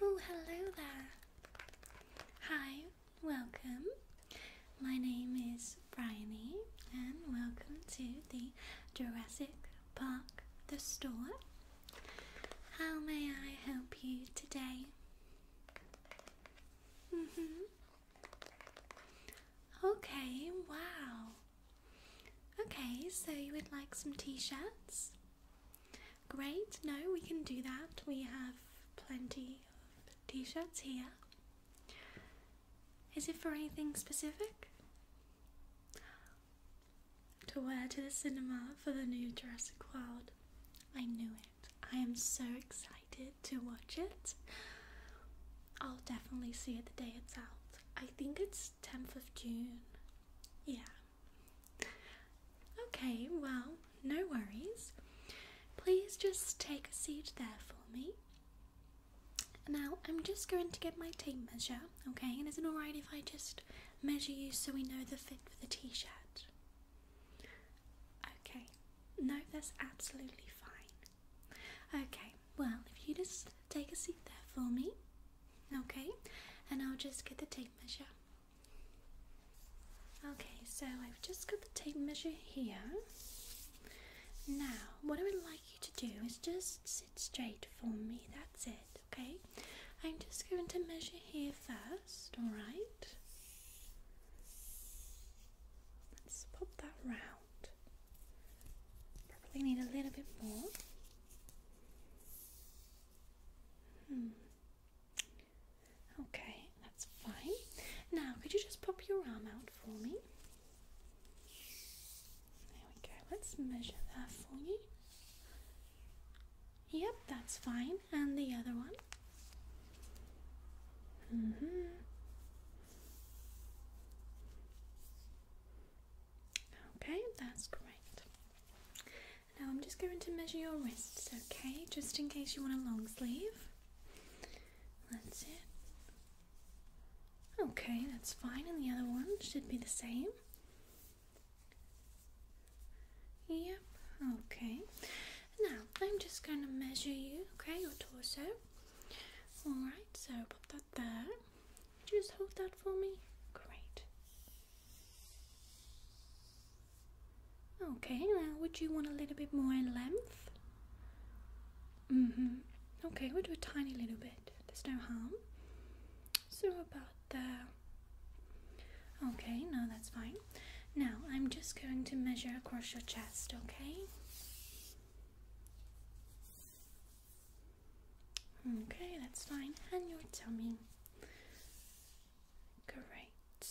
Oh, hello there. Hi, welcome. My name is Bryony, and welcome to the Jurassic Park The Store. How may I help you today? hmm. Okay, wow. Okay, so you would like some t shirts? Great, no, we can do that. We have plenty of t shirts here. Is it for anything specific? To wear to the cinema for the new Jurassic World. I knew it. I am so excited to watch it. I'll definitely see it the day it's out. I think it's 10th of June. Yeah. Okay, well, no worries. Please just take a seat there for me. Now, I'm just going to get my tape measure, okay? And is it alright if I just measure you so we know the fit for the t shirt? Okay, no, that's absolutely fine. Okay, well, if you just take a seat there for me, okay, and I'll just get the tape measure. Okay, so I've just got the tape measure here. Now, what I would like you to do is just sit straight for me, that's it, okay? I'm just going to measure here first, alright? Let's pop that round around. need a little bit more. Hmm. Okay, that's fine. Now, could you just pop your arm out for me? There we go. Let's measure that for you. Yep, that's fine. And the other one. Mm-hmm. Okay, that's great. Now I'm just going to measure your wrists, okay? Just in case you want a long sleeve. That's it. Okay, that's fine. And the other one should be the same. Yep, okay. Now I'm just going to measure you, okay, your torso. Alright, so put that there. Just hold that for me. Great. Okay, now would you want a little bit more length? Mm-hmm. Okay, we'll do a tiny little bit. There's no harm. So about there. Okay, no, that's fine. Now I'm just going to measure across your chest, okay? Okay, that's fine. And your tummy. Great.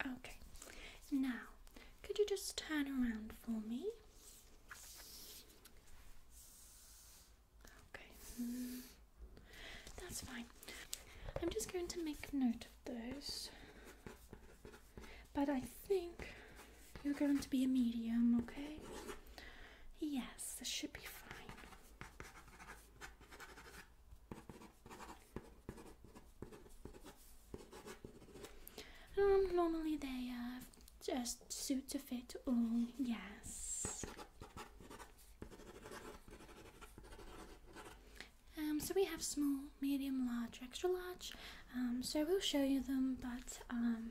Okay. Now, could you just turn around for me? Okay. That's fine. I'm just going to make note of those. But I think you're going to be a medium, okay? Yes, this should be fine. Um, normally they uh, just suit to fit all, yes. Um, so we have small, medium, large, extra large. Um, so we'll show you them, but um,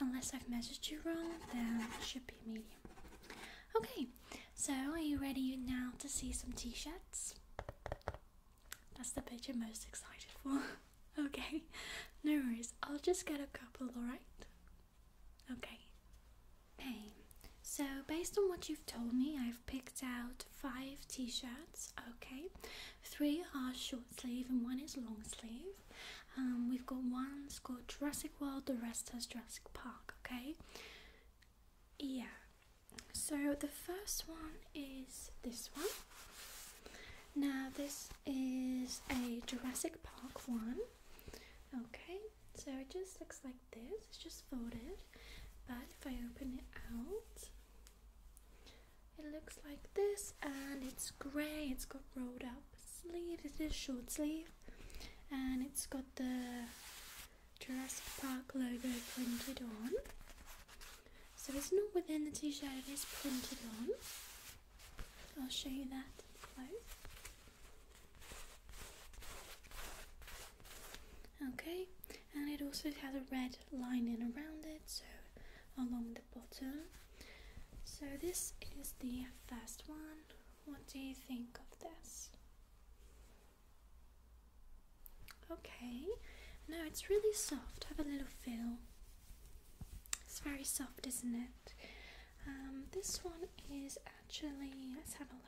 unless I've measured you wrong, then it should be medium. Okay, so are you ready now to see some t-shirts? That's the bit you're most excited for. okay, no worries. I'll just get a couple, alright? Okay. Hey, so, based on what you've told me, I've picked out five t shirts. Okay, three are short sleeve and one is long sleeve. Um, we've got one called Jurassic World, the rest has Jurassic Park. Okay, yeah. So, the first one is this one. Now, this is a Jurassic Park one. Okay, so it just looks like this, it's just folded. But if I open it out, it looks like this, and it's grey. It's got rolled up sleeve, it is short sleeve, and it's got the Jurassic Park logo printed on. So it's not within the t shirt, it is printed on. I'll show you that both. Okay, and it also has a red lining around it, so along the bottom. So, this is the first one. What do you think of this? Okay, no, it's really soft. Have a little feel. It's very soft, isn't it? Um, this one is actually, let's have a look.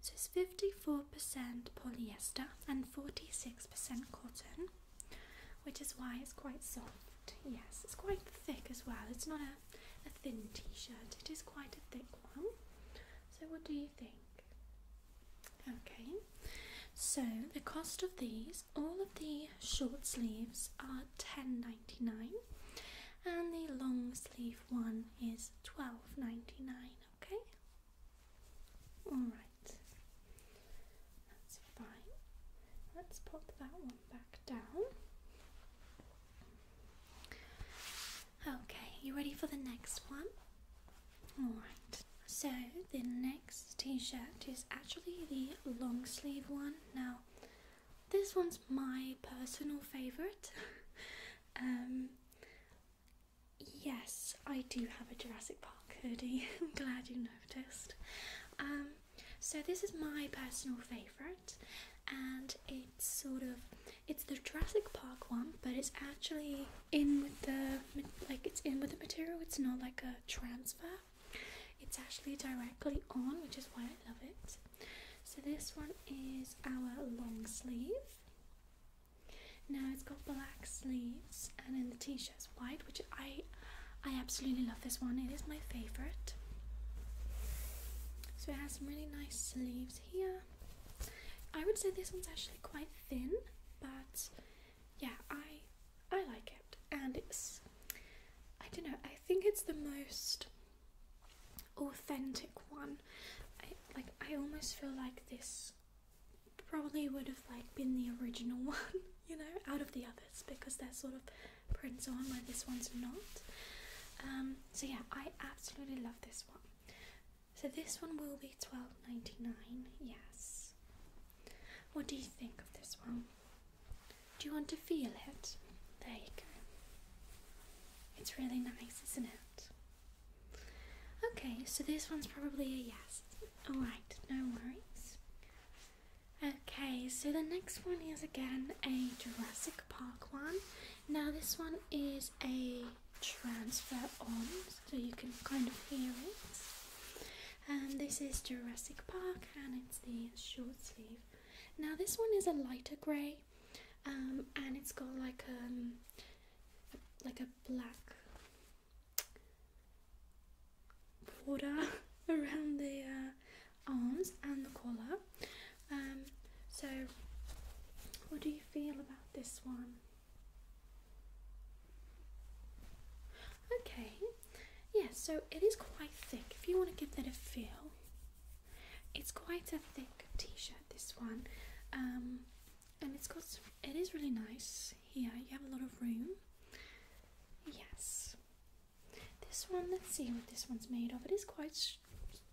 So it's 54% polyester and 46% cotton, which is why it's quite soft. Yes, it's quite thick as well. It's not a, a thin t shirt, it is quite a thick one. So, what do you think? Okay, so the cost of these, all of the short sleeves are 10.99, and the long sleeve one is Twelve ninety nine. okay? Alright, that's fine. Let's pop that one back down. Okay, you ready for the next one? Alright, so the next t shirt is actually the long sleeve one. Now, this one's my personal favourite. Um, yes, I do have a Jurassic Park hoodie. I'm glad you noticed. Um, so this is my personal favourite, and it's sort of it's the Jurassic Park one, but it's actually in with the like it's in with the material. It's not like a transfer. It's actually directly on, which is why I love it. So this one is our long sleeve. Now it's got black sleeves and then the t-shirt's white, which I I absolutely love this one. It is my favorite. So it has some really nice sleeves here. I would say this one's actually quite thin, but yeah, I I like it. And it's I don't know, I think it's the most authentic one. I, like I almost feel like this probably would have like been the original one, you know, out of the others because they're sort of prints on where this one's not. Um, so yeah, I absolutely love this one. So this one will be twelve ninety nine. Yes. What do you think of this one? Do you want to feel it? There you go. It's really nice, isn't it? Okay, so this one's probably a yes. Alright, no worries. Okay, so the next one is again a Jurassic Park one. Now, this one is a transfer on, so you can kind of hear it. And this is Jurassic Park, and it's the short sleeve. Now, this one is a lighter grey, um, and it's got like a um, like a black border around the uh, arms and the collar. Um, so, what do you feel about this one? Okay, yeah, so it is quite thick. If you want to give that a feel, it's quite a thick t-shirt this one um, and it's got it is really nice here you have a lot of room yes this one let's see what this one's made of it is quite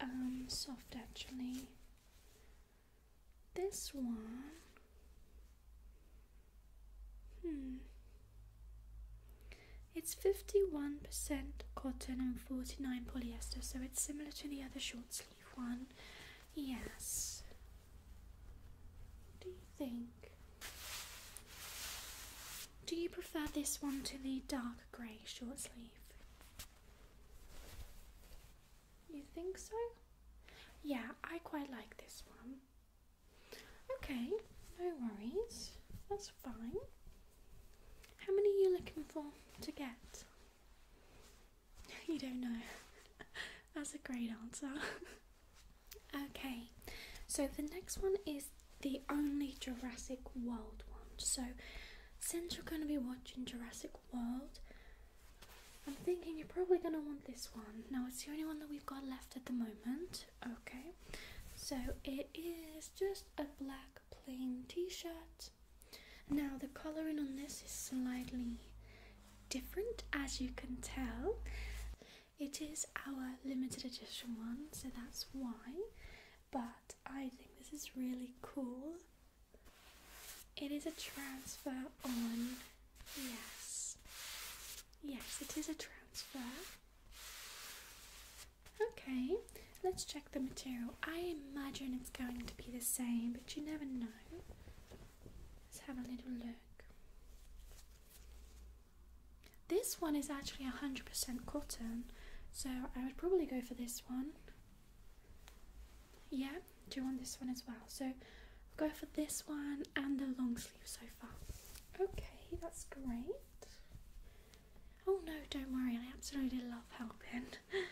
um, soft actually this one hmm it's 51% cotton and 49 polyester, so it's similar to the other short sleeve one. Yes. do you think? Do you prefer this one to the dark grey short sleeve? You think so? Yeah, I quite like this one. Okay, no worries. That's fine. How many are you looking for to get? You don't know. That's a great answer. okay, so the next one is the only Jurassic World one. So, since you're going to be watching Jurassic World, I'm thinking you're probably going to want this one. Now, it's the only one that we've got left at the moment okay so it is just a black plain t-shirt now the coloring on this is slightly different as you can tell it is our limited edition one so that's why but i think this is really cool it is a transfer on yes yes it is a transfer Okay, let's check the material. I imagine it's going to be the same, but you never know. Let's have a little look. This one is actually 100% cotton, so I would probably go for this one. Yeah, do you want this one as well? So go for this one and the long sleeve so far. Okay, that's great. Oh no, don't worry, I absolutely love helping.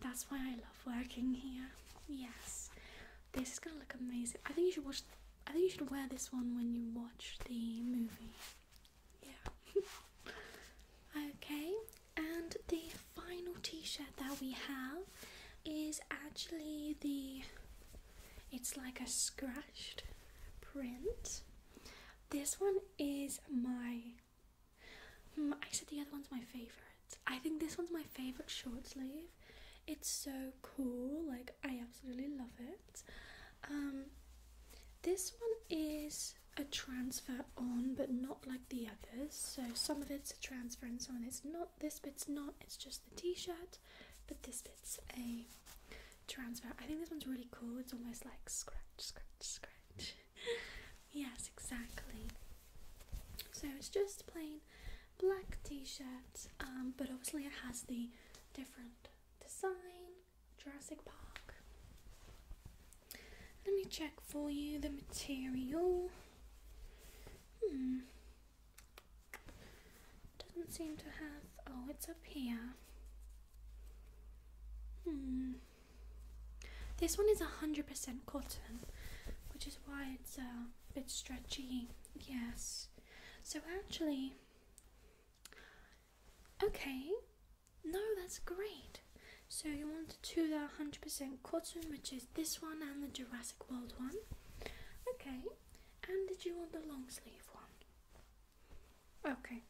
That's why I love working here. Yes. This is gonna look amazing. I think you should watch I think you should wear this one when you watch the movie. Yeah. okay, and the final t-shirt that we have is actually the it's like a scratched print. This one is my. Hmm, I said the other one's my favorite. I think this one's my favorite short sleeve. It's so cool. Like I absolutely love it. Um, this one is a transfer on, but not like the others. So some of it's a transfer and some of it's not. This but it's not. It's just the t-shirt. But this bit's a transfer. I think this one's really cool. It's almost like scratch, scratch, scratch. yes, exactly. So it's just plain black t-shirt, um, but obviously it has the different design, Jurassic Park. Let me check for you the material. Hmm. Doesn't seem to have. Oh, it's up here. Hmm. This one is 100% cotton, which is why it's uh, a bit stretchy. Yes. So actually. Okay. No, that's great. So you want two that are 100% cotton, which is this one and the Jurassic World one. Okay and did you want the long sleeve one? Okay,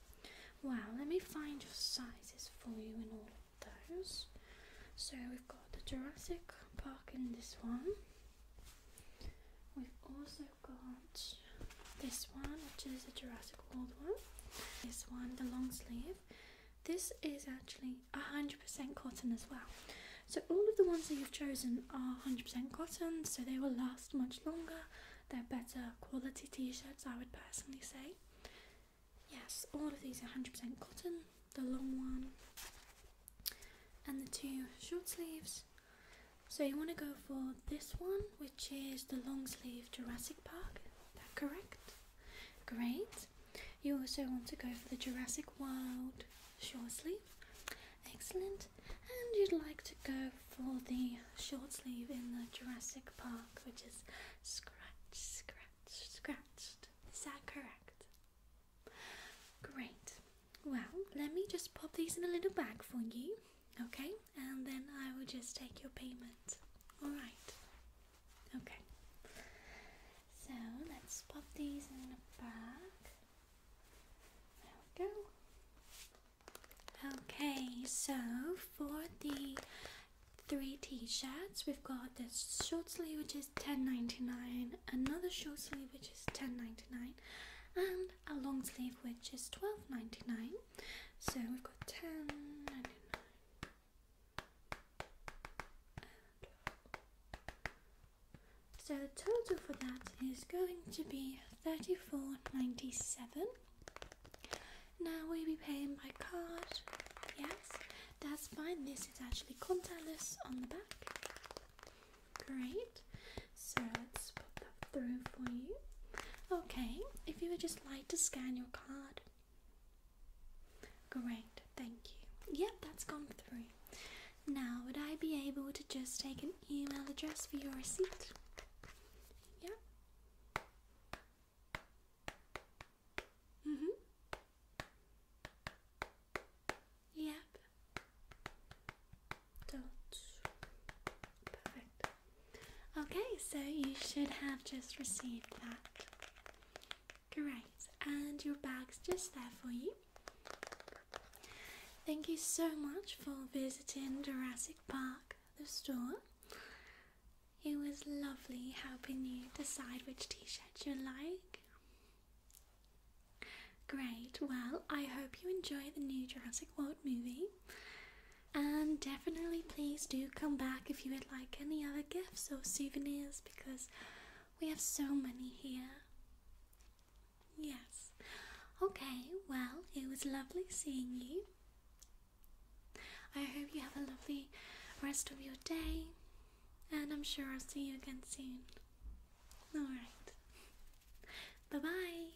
well, let me find your sizes for you in all of those. So we've got the Jurassic Park in this one. We've also got this one, which is the Jurassic World one. This one, the long sleeve. This is actually 100% cotton as well. So all of the ones that you've chosen are 100% cotton, so they will last much longer. They're better quality t-shirts, I would personally say. Yes, all of these are 100% cotton, the long one and the two short sleeves. So you want to go for this one, which is the long sleeve Jurassic Park. Is that correct? Great. You also want to go for the Jurassic Wild short sleeve. Excellent. And you'd like to go for the short sleeve in the Jurassic Park, which is scratch, scratch, scratched. Is that correct? Great. Well, let me just pop these in a little bag for you, okay? And then I will just take your payment. Alright. Okay. So let's pop these in the bag. Okay, so for the three t-shirts, we've got this short sleeve which is 10.99, another short sleeve which is 10.99, and a long sleeve which is 12.99. So we've got 10.99. So the total for that is going to be thirty-four ninety-seven. Now we will be paying by card? Yes, that's fine. This is actually contactless on the back. Great. So let's put that through for you. Okay, if you would just like to scan your card. Great, thank you. Yep, that's gone through. Now, would I be able to just take an email address for your receipt? Yeah. Mhm. yep. Perfect. Okay, so you should have just received that. Great, and your bag's just there for you. Thank you so much for visiting Jurassic Park, the store. It was lovely helping you decide which t shirt you like. Great, well, I hope you enjoy the new Jurassic World movie. And definitely, please do come back if you would like any other gifts or souvenirs because we have so many here. Yes. Okay, well, it was lovely seeing you. I hope you have a lovely rest of your day, and I'm sure I'll see you again soon. Alright. Bye bye.